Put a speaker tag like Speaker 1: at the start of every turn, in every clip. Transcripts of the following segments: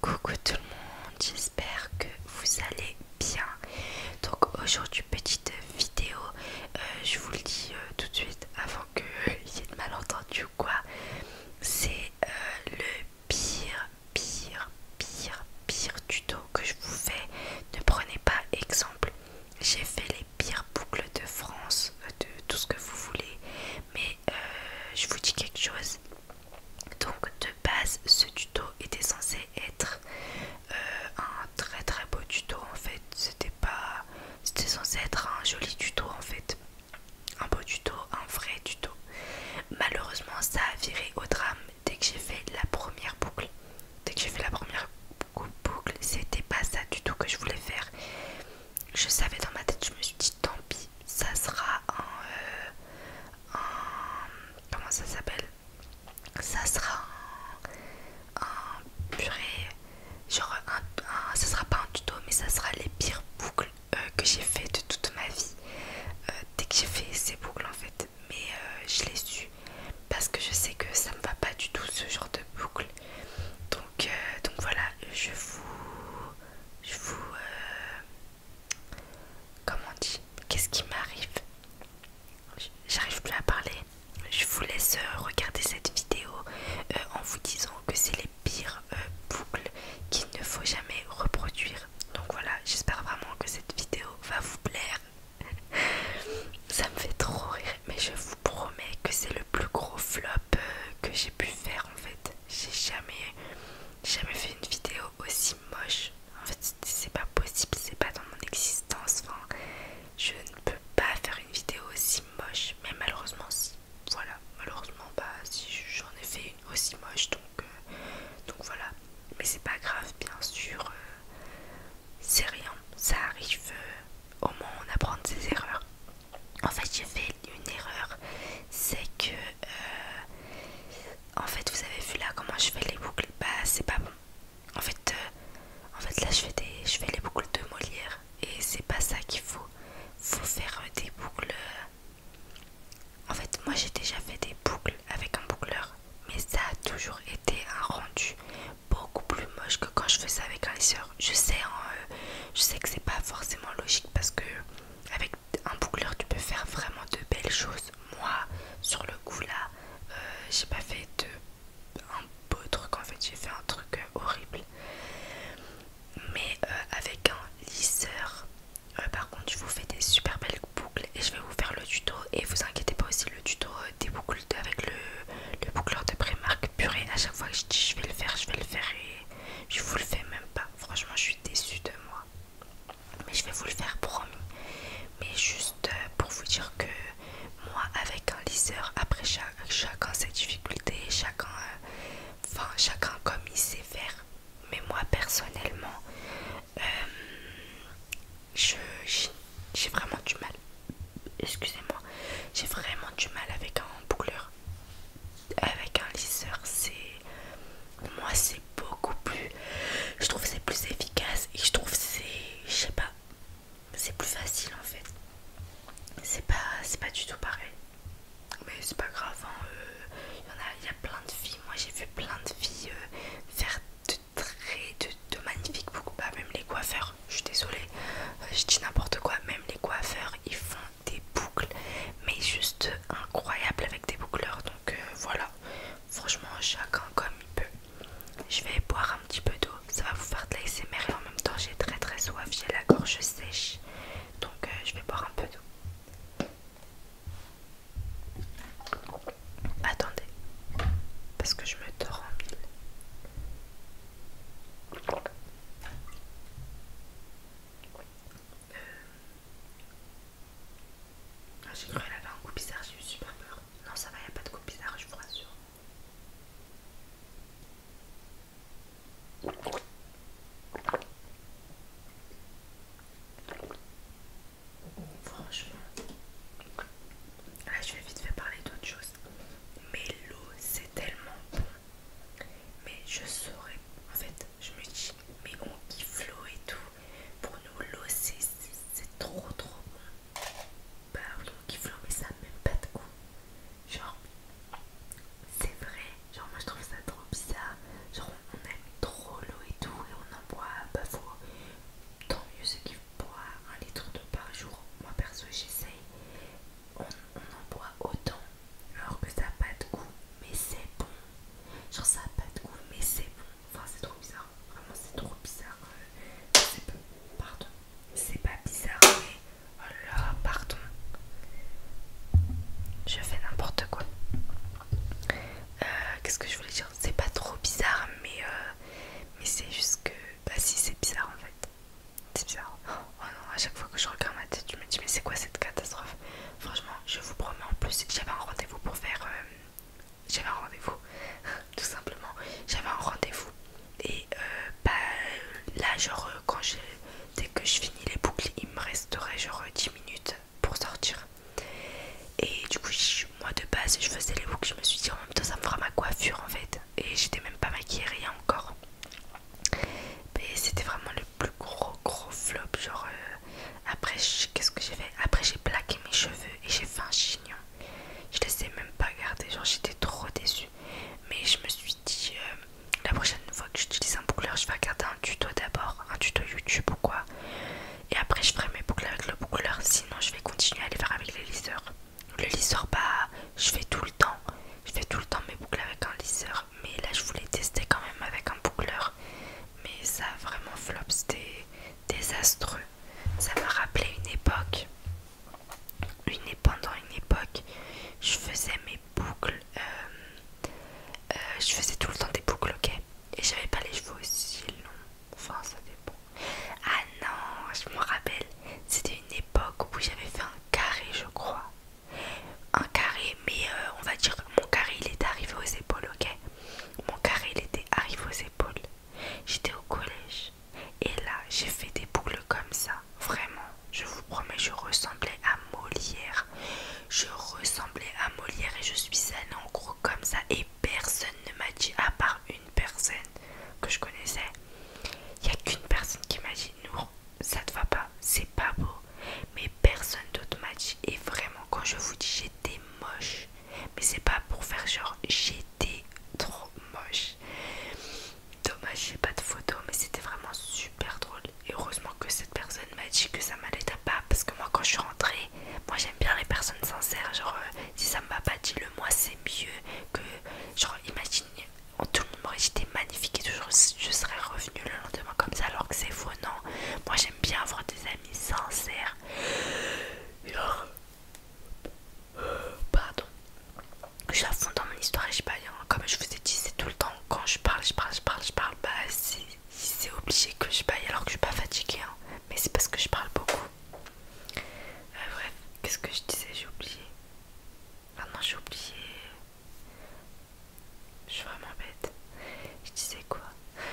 Speaker 1: Coucou tout le monde, j'espère que vous allez bien. Donc aujourd'hui petite vidéo, euh, je vous le dis euh, tout de suite avant qu'il y ait de malentendu ou quoi. C'est euh, le pire, pire, pire, pire tuto que je vous fais. Ne prenez pas exemple. J'ai fait les pires boucles de France, de tout ce que vous voulez, mais euh, je vous dis quelque chose. Donc de base, ce tuto était censé être euh, un très très beau tuto en fait. C'était pas, c'était censé être un joli tuto en fait, un beau tuto, un vrai tuto. Malheureusement, ça a viré au drame dès que j'ai fait la première boucle. Dès que j'ai fait la première boucle, c'était pas ça du tout que je voulais faire. Je savais dans ma tête, je me suis dit tant pis ça sera euh, un, comment ça s'appelle Ça sera un, un purée, genre un, ça sera pas un tuto, mais ça sera les pires boucles euh, que j'ai fait de toute ma vie. Euh, dès que j'ai fait ces boucles en fait, mais je les su parce que je sais que ça me va pas du tout ce genre de boucles. Donc, donc voilà, je vous, je vous, Comment on dit, qu'est-ce qui m'arrive J'arrive plus à parler. Je vous laisse euh, regarder cette vidéo euh, en vous disant que c'est les pires euh, boucles qu'il ne faut jamais reproduire. Donc voilà, j'espère vraiment que cette vidéo va vous plaire. Ça me fait trop rire, mais je vous promets que c'est le plus gros flop que j'ai pu faire en fait j'ai jamais, jamais fait une vidéo aussi moche. En fait, c'est pas possible, c'est pas dans mon existence. je ne peux pas faire une vidéo aussi moche, mais malheureusement, si. Voilà, malheureusement, pas bah, si j'en ai fait une aussi moche, donc, euh, donc voilà. Mais c'est pas grave, bien sûr, euh, c'est rien, ça arrive. Euh, au moins, on apprend de ses erreurs en fait j'ai fait une erreur c'est que euh, en fait vous avez vu là comment je fais les boucles bah c'est pas bon en fait euh, en fait là je fais des je fais les boucles de Molière et c'est pas ça qu'il faut faut faire euh, des boucles en fait moi j'ai déjà fait des boucles avec un boucleur mais ça a toujours été un rendu beaucoup plus moche que quand je fais ça avec un lisseur je sais hein, je sais que c'est pas forcément logique parce que avec un boucleur tu peux faire vraiment de belles choses moi sur le coup là euh, j'ai pas fait de un beau truc en fait j'ai fait un truc euh, horrible mais euh, avec un lisseur par contre je vous fais des super belles boucles et je vais vous faire le tuto et vous inquiétez pas aussi le tuto des boucles avec le, le boucleur de primark purée à chaque fois que je dis je vais le faire je vais le faire et je vous le fais même pas. Franchement, je suis déçue de moi. Mais je vais vous le faire, promis. Mais juste euh, pour vous dire que moi, avec un liseur, après chacun ses difficulté, chacun, euh, chacun comme il sait faire. Mais moi, personnellement, euh, j'ai vraiment du mal. Excusez-moi, j'ai vraiment du mal avec un boucleur avec un lisseur c'est moi c'est beaucoup plus je trouve c'est plus efficace et je trouve c'est je sais pas c'est plus facile en fait c'est pas c'est pas du tout pareil mais c'est pas grave hein, euh, il y en a plein de filles moi j'ai vu plein de filles euh, faire de très de, magnifiques beaucoup pas bah, même les coiffeurs je suis désolée euh, je dis n'importe quoi même les coiffeurs ils font des boucles mais juste incroyable avec des boucleurs donc euh, voilà franchement chacun comme il peut je vais boire un petit peu d'eau ça va vous faire de l'ASMR et en même temps j'ai très très soif j'ai la gorge sèche donc euh, je vais boire un peu d'eau attendez parce que je me dors en mille euh, j'ai cru qu'elle avait un coup bizarre, j'ai eu super peur. Non, ça va, il n'y a pas de coup bizarre, je vous rassure. Franchement, je vais vite faire parler d'autre chose. Mais l'eau, c'est tellement bon. Mais je saurais, en fait, je me dis, mais on kiffe l'eau et tout. Pour nous, l'eau, c'est trop trop bon. Bah oui, on kiffe l'eau, mais ça même pas de goût. Genre, c'est vrai. Genre, moi je trouve ça trop bizarre. Genre, on aime trop l'eau et tout, et on en boit, bah faut. Tant mieux ceux qui boit un litre d'eau par jour. Moi perso, j'essaye on, en boit autant alors que ça n'a pas de goût mais c'est bon genre ça n'a pas de goût mais c'est bon enfin c'est trop bizarre vraiment c'est trop bizarre c'est euh, pardon c'est pas bizarre mais oh là là pardon je fais n'importe quoi euh, qu'est-ce que je voulais dire c'est pas trop bizarre mais euh, mais c'est juste que bah si c'est bizarre en fait c'est bizarre. Oh non, à chaque fois que je regarde ma tête, je me dis mais c'est quoi cette catastrophe Franchement, je vous promets en plus, j'avais un rendez-vous pour faire... Euh, j'avais un rendez-vous, tout simplement. J'avais un rendez-vous. Et euh, bah, là, genre, euh, dès que je finis les boucles, il me resterait genre 10 minutes pour sortir. Et du coup, moi de base, je faisais les boucles, je me suis dit en même temps, ça me fera ma coiffure en fait et j'étais même pas maquillée rien encore mais c'était vraiment le plus gros gros flop genre euh, après qu'est-ce que j'ai fait après j'ai plaqué mes cheveux et j'ai fait un chignon je les ai même pas gardés genre j'étais trop déçue mais je me suis dit euh, la prochaine fois que j'utilise un boucleur je vais regarder un tuto d'abord un tuto youtube ou quoi et après je ferai mes boucles avec le boucleur sinon je vais continuer à les faire avec les liseurs le lisseur, pas, bah, je fais tout le temps. Je fais tout le temps mes boucles avec un lisseur. Mais là, je voulais tester quand même avec un boucleur. Mais ça vraiment flop, c'était désastreux. Ça m'a rappelé une époque. Une, pendant une époque, je faisais mes boucles. Euh, euh, je faisais tout le temps des boucles, ok Et j'avais pas les cheveux aussi longs. Enfin, ça dépend. Ah non, je me rappelle, c'était une époque où j'avais fait un carré, je crois. Un carré, mais euh, on va dire mon carré il était arrivé aux épaules, ok Mon carré il était arrivé aux épaules. J'étais au collège et là j'ai fait des boucles comme ça. Vraiment, je vous promets, je ressemblais à Molière. Je ressemblais à Molière et je suis allée en gros comme ça. Et personne ne m'a dit, à part une personne que je connaissais, il n'y a qu'une personne qui m'a dit non, ça te va pas, c'est pas beau. Mais personne d'autre m'a dit. Et vraiment, quand je vous dis j'étais moche, mais c'est pas pour faire genre j'étais trop moche. Dommage, j'ai pas de photo, mais c'était vraiment super drôle. Et heureusement que cette personne m'a dit que ça m'allait pas parce que moi quand je suis rentrée, moi j'aime bien les personnes sincères. Genre, euh, si ça me va pas, dis-le moi, c'est mieux que genre imagine tout le monde m'aurait dit magnifique et toujours je serais revenue le lendemain comme ça alors que c'est faux non moi j'aime bien avoir des amis sincères alors, euh, pardon je suis à fond dans mon histoire et je baille. Hein, comme je vous ai dit c'est tout le temps quand je parle je parle je parle je parle bah c'est obligé que je baille alors que je suis pas fatiguée hein. mais c'est parce que je parle beaucoup euh, bref, qu'est-ce que je disais J'ai oublié. maintenant j'ai oublié. Je suis vraiment bête. Je disais quoi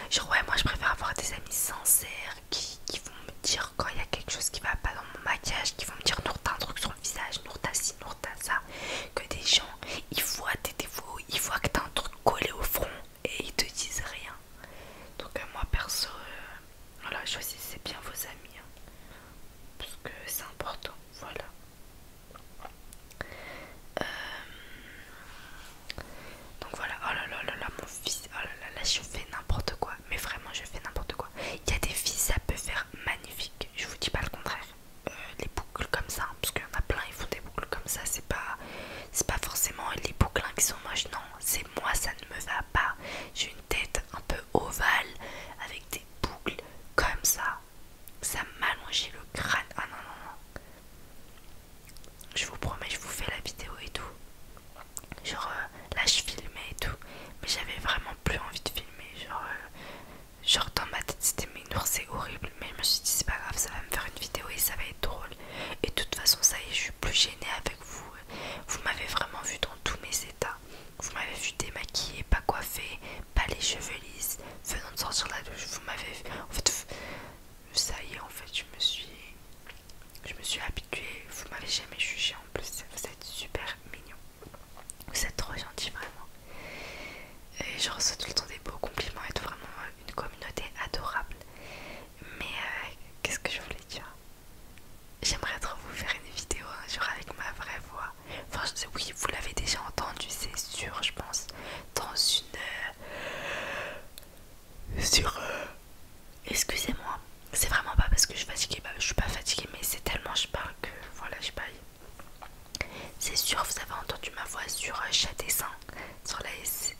Speaker 1: Genre, ouais, moi je préfère avoir des amis sincères qui, vont me dire quand il y a quelque chose qui va pas dans mon maquillage, qui vont me dire Nour, t'as un truc sur le visage, Nour, t'as ci, Nour, t'as ça. Que des gens, ils voient tes défauts, ils voient que t'as un truc collé au front et ils te disent rien. Donc euh, moi perso, euh, voilà, choisissez bien vos amis. Hein, parce que c'est important, voilà. Euh, donc voilà, oh là là là là, mon fils, oh là là je fais n'importe quoi. Mais vraiment, je fais n'importe quoi. Il y a des filles, ça peut faire magnifique. Je vous dis pas le contraire. les boucles comme ça, hein, parce qu'il y en a plein, ils font des boucles comme ça. C'est pas, c'est pas forcément les boucles qui sont moches, non. C'est moi, ça ne me va pas. J'ai une tête un peu ovale avec des boucles comme ça. Ça m'allongeait le crâne. Ah non, non, non. Je vous promets, je vous fais la vidéo et tout. Genre euh, là, je filmais et tout. Mais j'avais vraiment plus envie de filmer. Genre, euh, dans ma tête, c'était mais c'est horrible. Mais je me suis dit, c'est pas grave, ça va me faire une vidéo et ça va être drôle. Et de toute façon, ça y est, je suis plus gênée avec vous. Vous m'avez vraiment vu dans tous mes états. Vous m'avez vu démaquillée, pas coiffée, pas les cheveux lisses, venant de sortir la douche. Vous m'avez vu. En fait, ça y est, en fait, je me suis. Je me suis habituée. Vous m'avez jamais jugée en plus. Vous êtes super mignon. Vous êtes trop gentil, vraiment. Et je reçois tout le temps des beaux compliments vous êtes vraiment euh, une communauté adorable. Mais euh, qu'est-ce que je voulais dire J'aimerais trop vous faire une vidéo un avec ma vraie voix. Enfin, oui, vous l'avez déjà entendu, c'est sûr, je pense. Dans une. Euh, sur. Euh, excusez-moi, c'est vraiment pas parce que je suis fatiguée. Bah, je suis pas fatiguée, mais c'est tellement je parle que. Voilà, je parle. C'est sûr, vous avez entendu ma voix sur euh, Chat Dessin, sur la,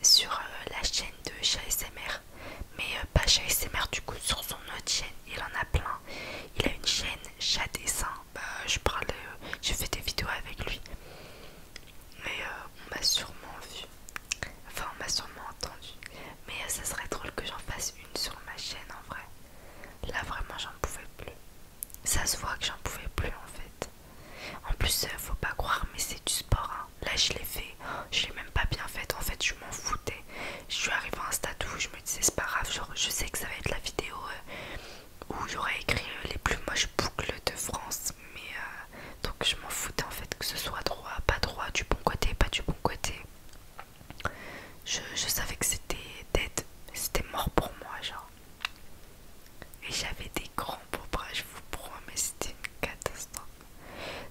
Speaker 1: sur, la chaîne de Chat SMR. Mais euh, Pacha et ses mères, du coup, sur son autre chaîne, il en a plein. Il a une chaîne chat dessin. Bah, je parle, euh, Je des vidéos avec lui. Mais euh, on m'a sûrement vu. Enfin, on m'a sûrement entendu. Mais ça serait drôle que j'en fasse une sur ma chaîne en vrai. Là, vraiment, j'en pouvais plus. Ça se voit que j'en pouvais plus en fait. En plus, faut pas croire, mais c'est du sport. Hein là je l'ai fait, je l'ai même pas bien fait en fait je m'en foutais. Je suis arrivée à un stade où je me disais c'est pas grave, je sais que ça va être la vidéo euh, où j'aurais écrit euh, les plus moches boucles de France, mais euh, donc je m'en foutais en fait que ce soit droit, pas droit, du bon côté, pas du bon côté. Je, savais que c'était dead, c'était mort pour moi genre. Et j'avais des grands pourrais je vous promets, c'était une catastrophe.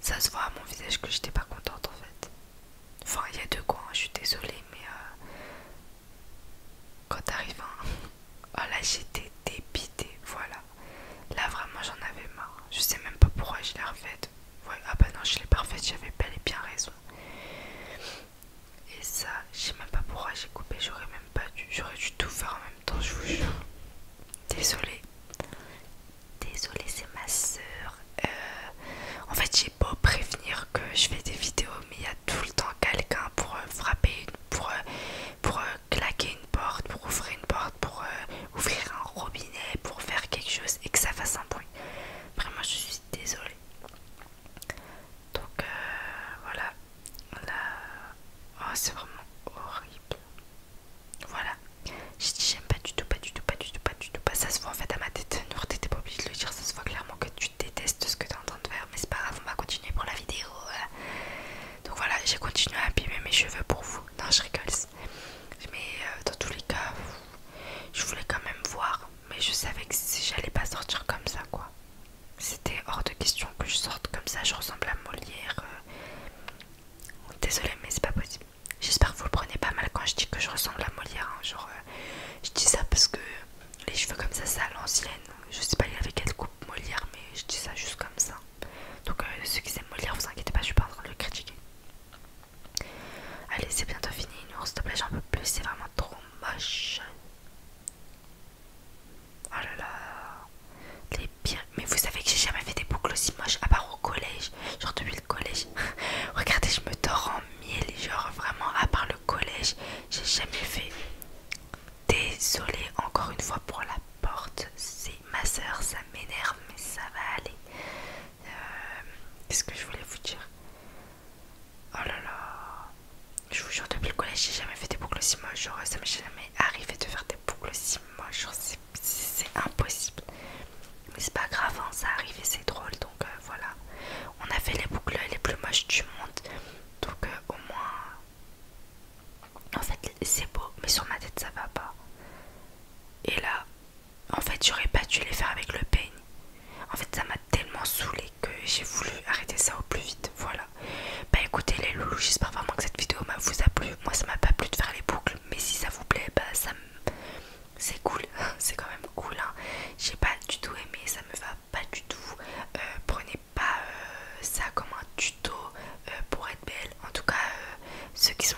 Speaker 1: Ça se voit à mon visage que j'étais pas contente en fait. Enfin, il y a deux quoi, je suis désolée, mais euh, quand t'arrives, oh là j'étais dépitée, voilà. Là vraiment j'en avais marre. Je sais même pas pourquoi je l'ai refaite. ah bah non, je l'ai pas refaite, j'avais bel et bien raison. Et ça, je sais même pas pourquoi j'ai coupé, j'aurais même pas dû, j'aurais dû tout faire en même je vous jure. Désolée. Désolée, c'est ma soeur. Euh, en fait, j'ai beau prévenir que je fais des vidéos, mais il y a tout le temps quelqu'un pour euh, frapper, pour, euh, pour claquer une porte, pour ouvrir une porte, pour ouvrir un robinet, pour faire quelque chose et que ça fasse un bruit. Vraiment, je suis désolée. Donc voilà. Là... Oh, c'est vraiment horrible. Voilà. J'ai dit j'aime pas du tout, pas du tout, pas du tout, pas du tout, pas. Ça se voit en fait à ma tête. tu t'es pas obligé de le dire. Ça se voit clairement que tu détestes ce que t'es en train de faire. Mais c'est pas grave, on va continuer pour la vidéo. Donc voilà, j'ai continué à abîmer mes cheveux pour vous. Non, je rigole. Mais euh, dans tous les cas, je voulais quand même voir. Mais je savais que j'allais pas sortir comme ça, quoi. C'était hors de question que je sorte comme ça. Je ressemble à Molière. Euh. Désolé désolée mais c'est pas possible j'espère que vous le prenez pas mal quand je dis que je ressemble à Molière hein. genre euh, je dis ça parce que les cheveux comme ça c'est à l'ancienne je sais pas avec quelle coupe Molière mais je dis ça juste comme ça donc euh, ceux qui aiment Molière vous inquiétez pas je suis pas en train de le critiquer allez c'est bientôt fini nous s'il te plaît j'en peux plus c'est vraiment trop moche Oh là là. Les bien Mais vous savez que j'ai jamais fait des boucles aussi moches, à part au collège. Genre depuis le collège. Regardez, je me dors en miel Genre vraiment, à part le collège, j'ai jamais fait. désolé encore une fois pour la porte. C'est ma soeur, ça m'énerve, mais ça va aller. Euh, qu'est-ce que je voulais vous dire Oh là là. Je vous jure, depuis le collège, j'ai jamais fait des boucles aussi moches. Genre, ça me mais arriver de faire des boucles si moches, c'est impossible. Mais c'est pas grave, hein, ça arrive c'est drôle, donc euh, voilà. On a fait les boucles les plus moches du monde, donc euh, au moins... En fait, c'est beau, mais sur ma tête, ça va pas. Et là, en fait, j'aurais pas dû les faire avec le peigne. En fait, ça m'a tellement saoulé que j'ai voulu arrêter ça au plus vite, voilà. Bah écoutez les loulous, j'espère vraiment que cette vidéo vous a plu. Moi ça m'a pas plu de faire les boucles, mais si ça vous plaît, bah ça C'est cool, c'est quand même cool. Hein. J'ai pas du tout aimé, ça me va pas du tout. Euh, prenez pas euh, ça comme un tuto euh, pour être belle. En tout cas, ceux qui sont,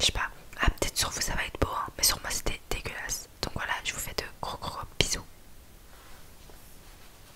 Speaker 1: je sais pas, ah peut-être sur vous ça va être beau, hein. mais sur moi c'était dégueulasse. Donc voilà, je vous fais de gros gros bisous.